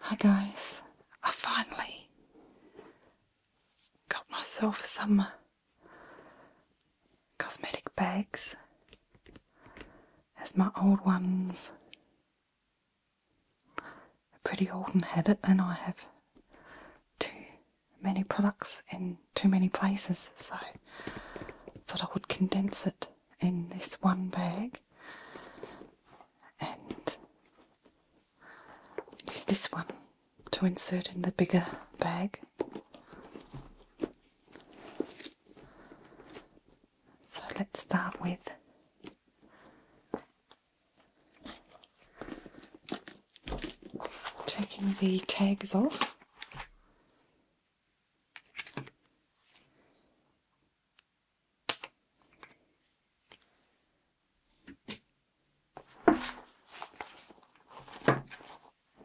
Hi guys, I finally got myself some uh, cosmetic bags as my old ones are pretty old and had it and I have too many products in too many places so I thought I would condense it in this one bag and use this one to insert in the bigger bag. So let's start with taking the tags off.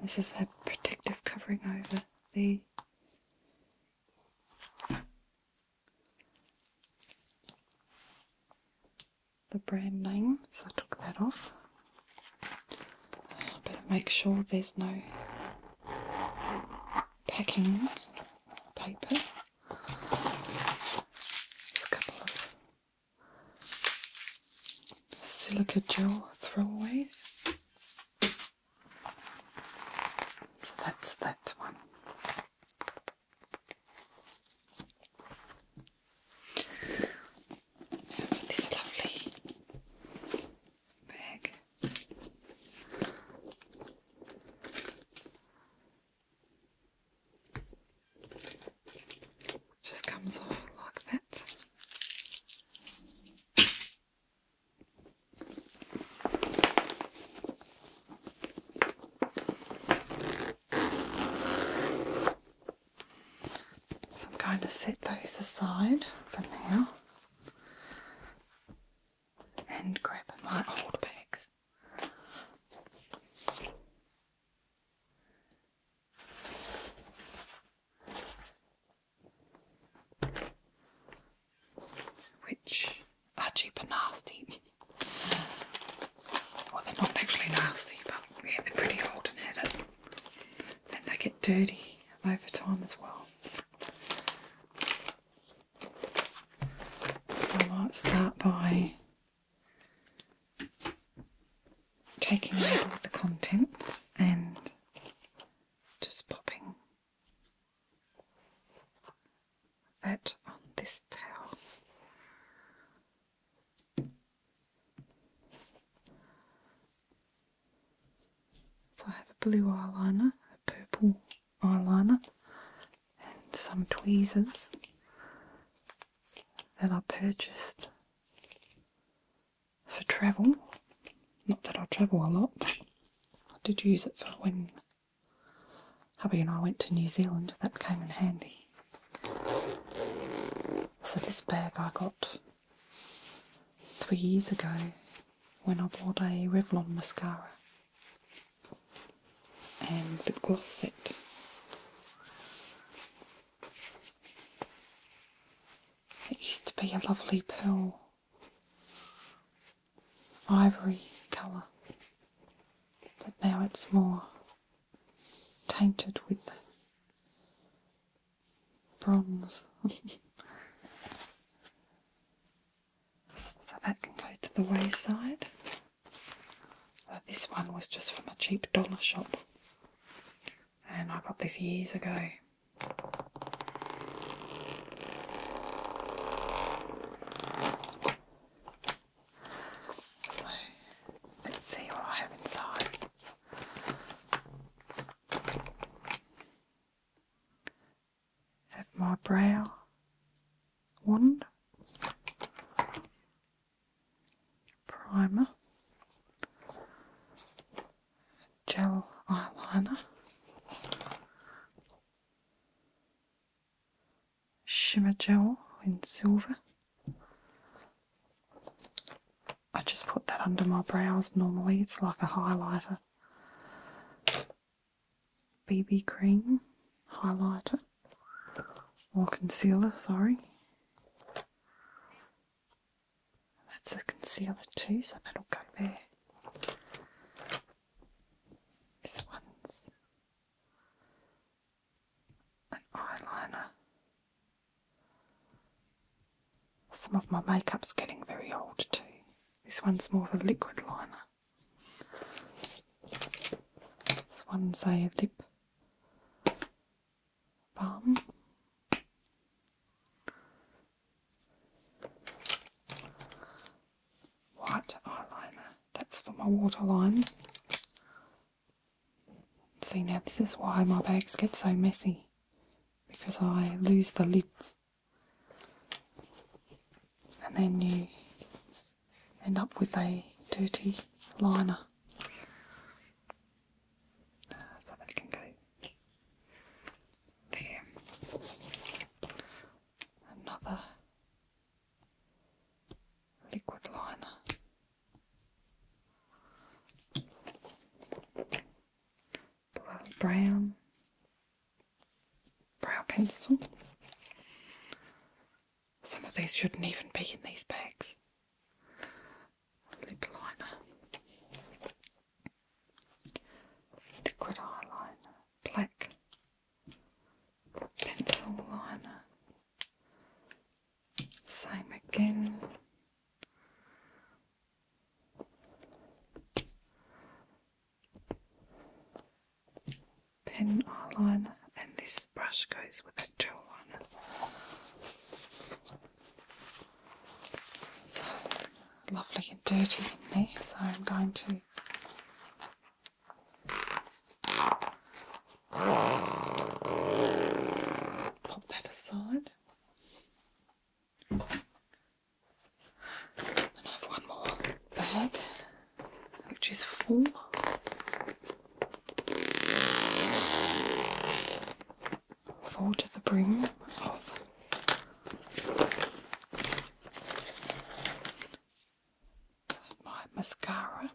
This is a protective covering over the the brand name, so I took that off. But make sure there's no packing paper. a couple of silica gel throwaways. So that's that one. this lovely just comes off like that. So I'm going to set those aside for now and grab my old bags. Which are cheap and nasty. well, they're not actually nasty, but yeah, they're pretty old and had it. they get dirty over time as well. So I'll start by taking out all the contents and just popping that on this towel. So I have a blue eyeliner, a purple eyeliner, and some tweezers that I purchased for travel. Not that I travel a lot, I did use it for when hubby and I went to New Zealand. That came in handy. So this bag I got three years ago when I bought a Revlon mascara and lip gloss It used to be a lovely pearl ivory colour, but now it's more tainted with bronze. so that can go to the wayside. this one was just from a cheap dollar shop, and I got this years ago. So let's see what I have inside have my brow wand, primer, gel eyeliner, shimmer gel in silver. I just put that under my brows normally, it's like a highlighter. BB cream highlighter or concealer, sorry. That's the concealer too, so that'll go there. This one's an eyeliner. Some of my makeup's getting very old too. This one's more of a liquid liner. This one's a lip balm. White eyeliner. That's for my waterline. See now, this is why my bags get so messy because I lose the lids and then you end up with a dirty liner uh, so that can go there. Another liquid liner brown brow pencil. Some of these shouldn't even be in these bags. Lip liner, liquid eyeliner, black pencil liner. Same again. Pen eyeliner, and this brush goes with that gel liner. lovely and dirty in there, so I'm going to. Pop that aside. I have one more bag, which is full. Full to the brim of my mascara.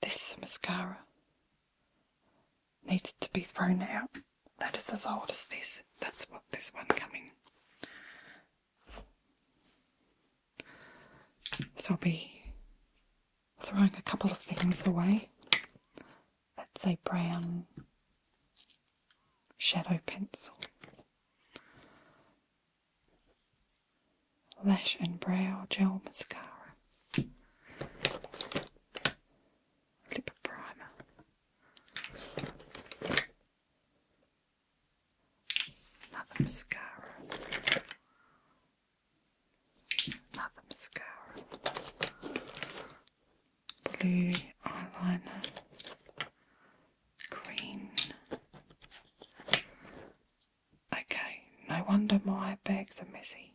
This mascara needs to be thrown out. That is as old as this. That's what this one coming. So I'll be throwing a couple of things away. That's a brown shadow pencil. Lash and Brow Gel Mascara, Lip Primer, another mascara, another mascara, blue eyeliner, green Okay, no wonder my bags are messy.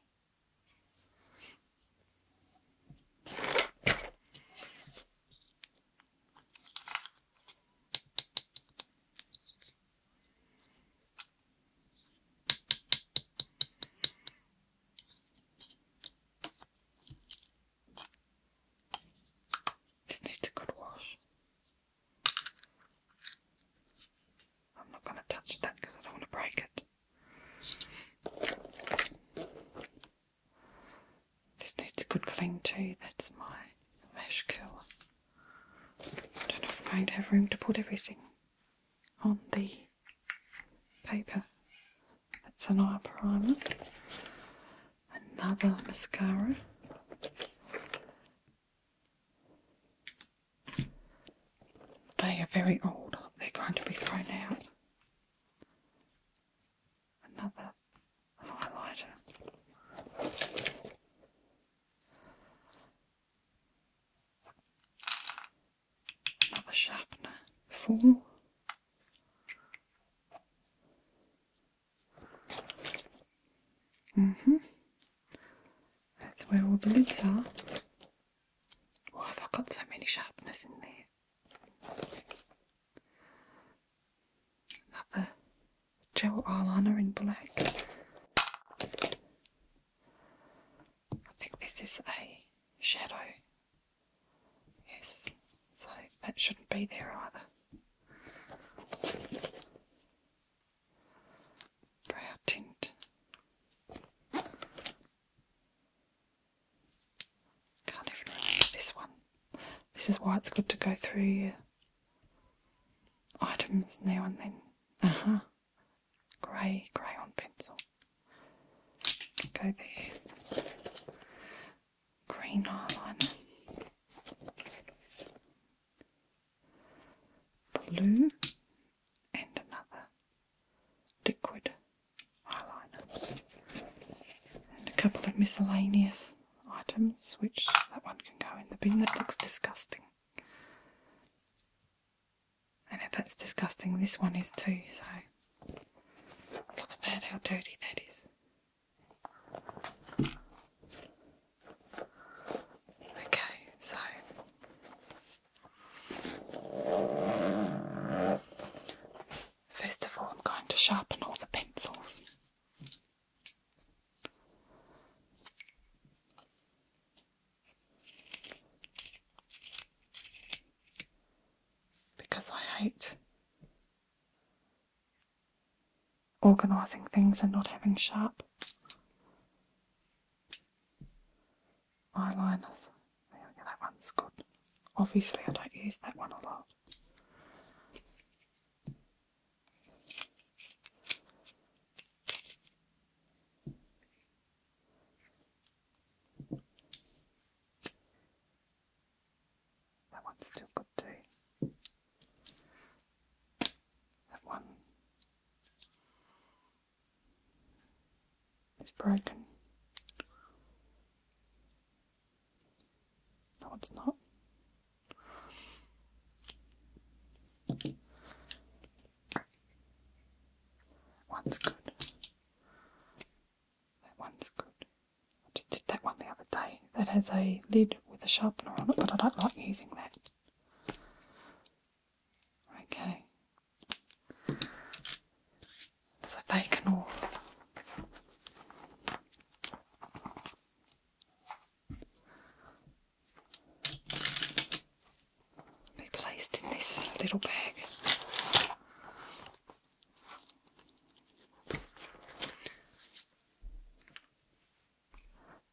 This needs a good wash. I'm not going to touch that because I don't want to break it. This needs a good clean too. That's my mesh curler. I don't know if I'm going to have room to put everything on the paper. That's an eye primer. Another mascara. They are very old. They're going to be thrown out. Another highlighter. Another sharpener. Four. Mm-hmm. That's where all the lids are. Why have I got so many sharpness in there? Another gel eyeliner in black. I think this is a shadow. Yes, so that shouldn't be there either brow tint. Can't even remember this one. This is why it's good to go through your items now and then. Uh huh. Grey, grey on pencil. Go there. Green eyeliner blue and another liquid eyeliner and a couple of miscellaneous items which that one can go in the bin that looks disgusting and if that's disgusting this one is too so look at that how dirty that is Okay, so first of all, I'm going to sharpen all the pencils. Because I hate organising things and not having sharp eyeliners. There we go, that one's good. Obviously, I don't use that one a lot. That one's still good too. That one is broken. No, it's not. That one's good. That one's good. I just did that one the other day. That has a lid with a sharpener on it, but I don't like using that. Okay. So they can all be placed in this little bag.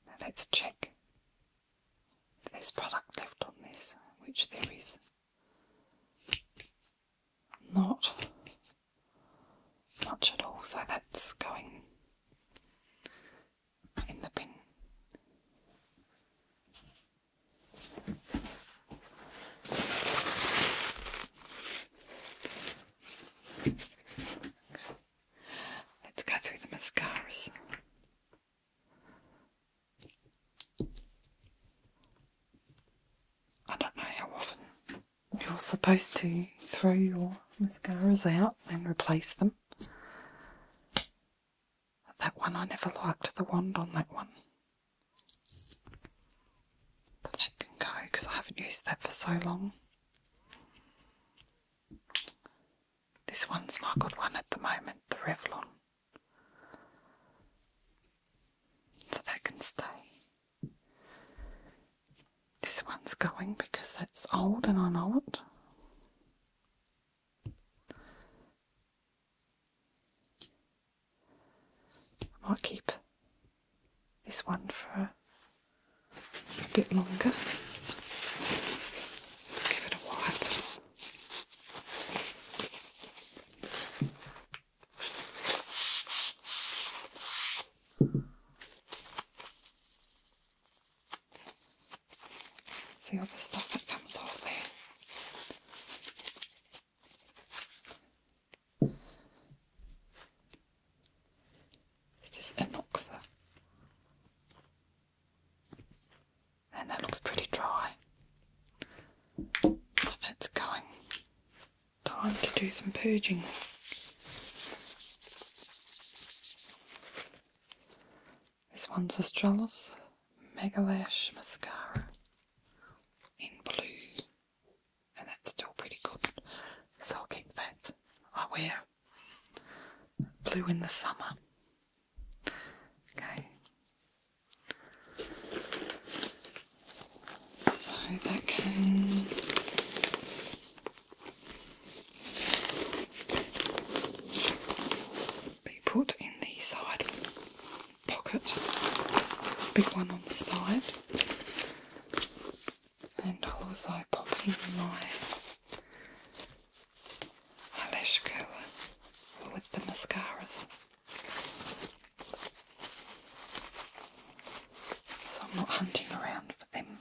Now let's check this product left on this, which there is not much at all, so that's going in the bin. Let's go through the mascaras. I don't know how often you're supposed to throw your mascaras out and replace them. That one I never liked the wand on that one. that can go because I haven't used that for so long. This one's my good one at the moment, the Revlon. So that can stay. This one's going because that's old and I know it. I will keep this one for a bit longer. Let's give it a wipe. See all the stuff that comes off there. This is an oxer. And that looks pretty dry. So that's going. Time to do some purging. This one's Astralis Mega Lash Mascara in blue. And that's still pretty good. So I'll keep that. I wear blue in the summer. Okay. So that can be put in the side pocket, big one on the side and I'll also pop in my eyelash curler with the mascaras. So I'm not hunting around for them.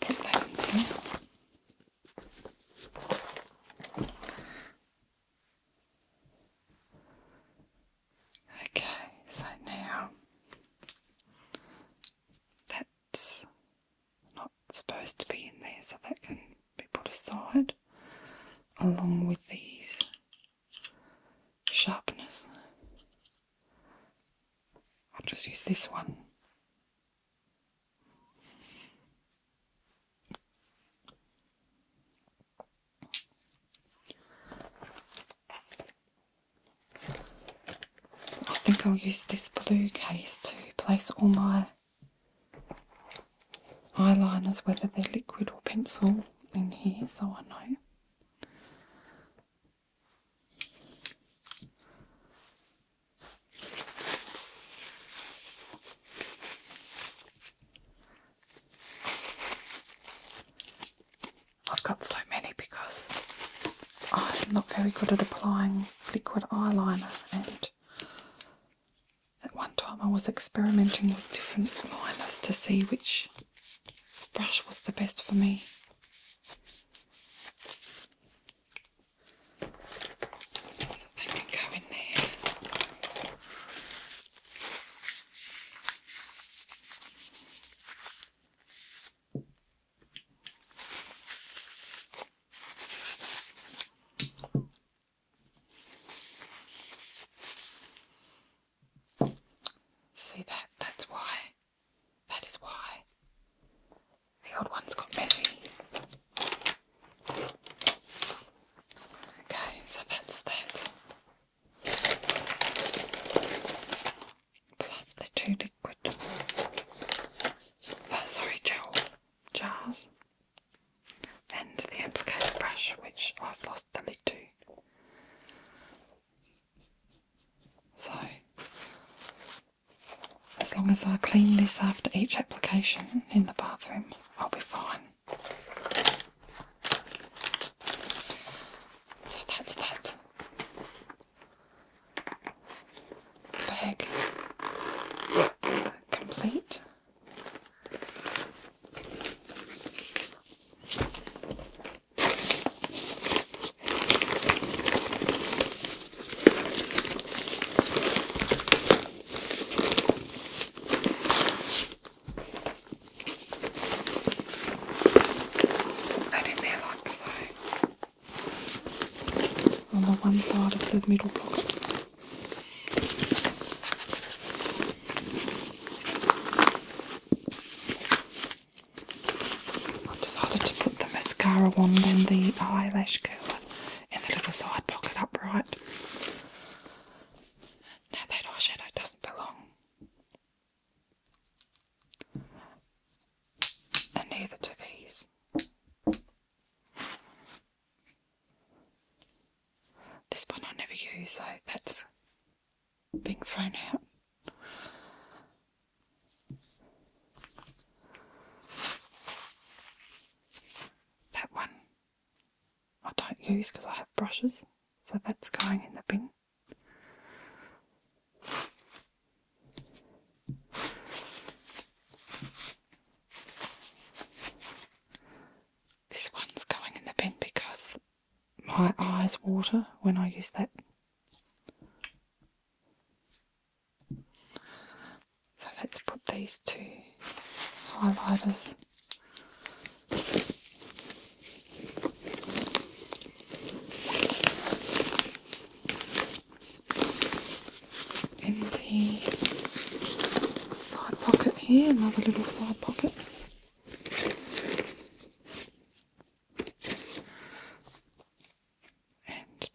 Put that in there. Okay, so now that's not supposed to be in there, so that can be put aside along with these sharpness. I'll just use this one I think I'll use this blue case to place all my eyeliners, whether they're liquid or pencil, in here so I know. I've got so many because I'm not very good at applying liquid eyeliner, and at one time I was experimenting with different liners to see which brush was the best for me. See that? That's why. That is why. The old ones got busy. Okay, so that's that. Plus the two liquid. Uh, sorry, gel jars. And the applicator brush, which I've lost the lid to. So, as long as I clean this after each application in the bathroom, I'll be fine. So that's that bag complete letting their like so on the one side of the middle block. I decided to put the mascara wand in the eyelash curler in the little side pocket upright now that eyeshadow doesn't belong. And neither do these. This one I never use, so that's being thrown out. That one I don't use because I have brushes, so that's going in the bin. This one's going in the bin because my eyes water when I use that. So let's put these two highlighters in the side pocket here, another little side pocket. And the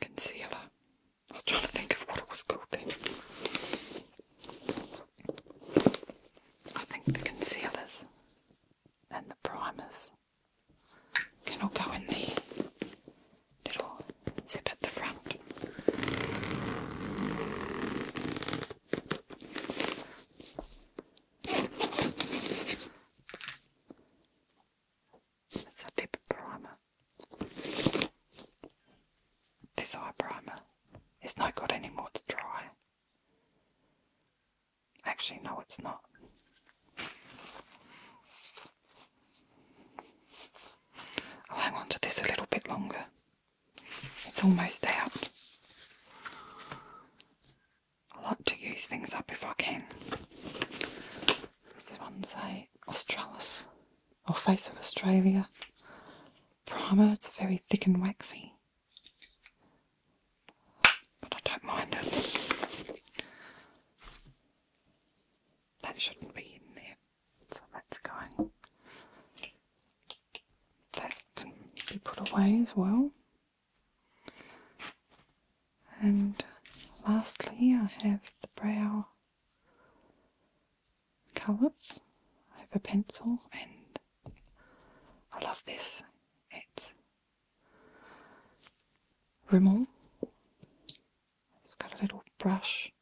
Concealer. I was trying to think of what it was called I think the concealers and the primers can I go in the little zip at the front. That's a lip primer. This eye primer is no good anymore, it's dry. Actually, no, it's not. I'll oh, hang on to this a little bit longer. It's almost out. I like to use things up if I can. This one's a Australis or Face of Australia primer. It's very thick and waxy. But I don't mind it. That shouldn't be in there. So that's going. That can be put away as well. And lastly, I have the brow colours. I have a pencil and I love this. It's Rimmel it's got a little brush.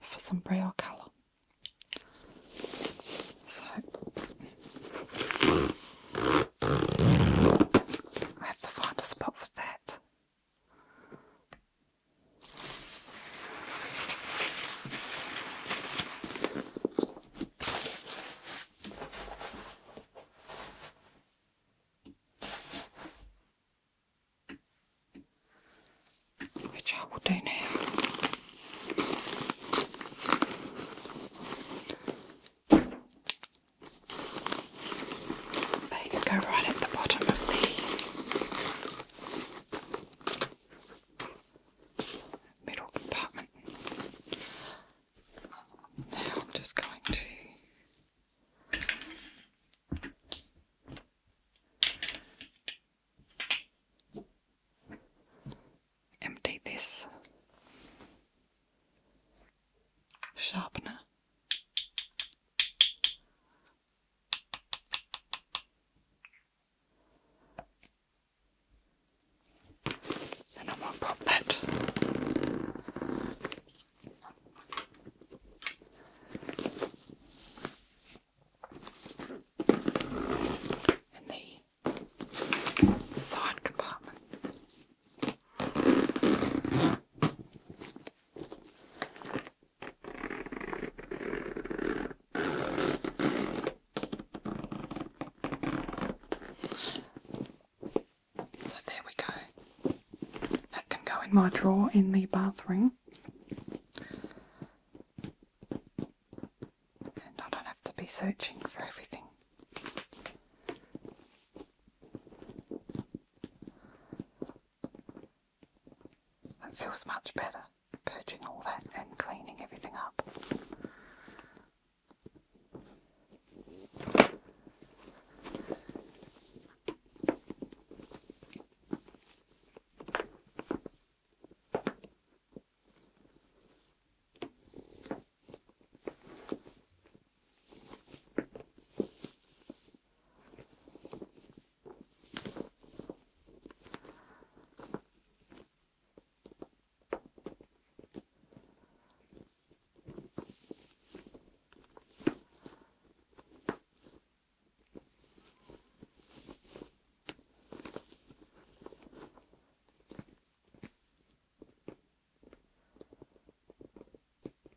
For some braille colour. So I have to find a spot for that. Which I will do now. They can go right at the bottom of the middle compartment. Now I'm just going to empty this sharpener. And I'm going to pop that in the side compartment. So there we go. That can go in my drawer in the bathroom. And I don't have to be searching for everything. That feels much better purging all that and cleaning everything up.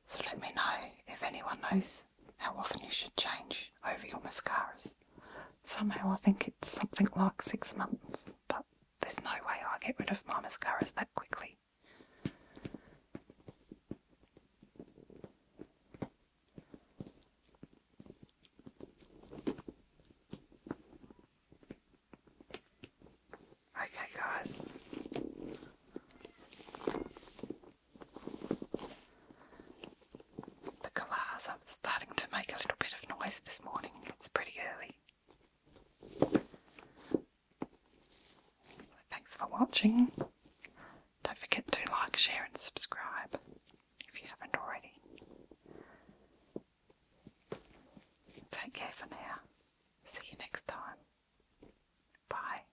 So let me know if anyone knows how often you should change over your mascaras. Somehow I think it's something like six months, but there's no way I get rid of Mama's mascaras that quickly. Okay, guys. The I'm starting to make a little bit of noise this morning. It's pretty early. thanks for watching. Don't forget to like, share, and subscribe if you haven't already. Take care for now. See you next time. Bye.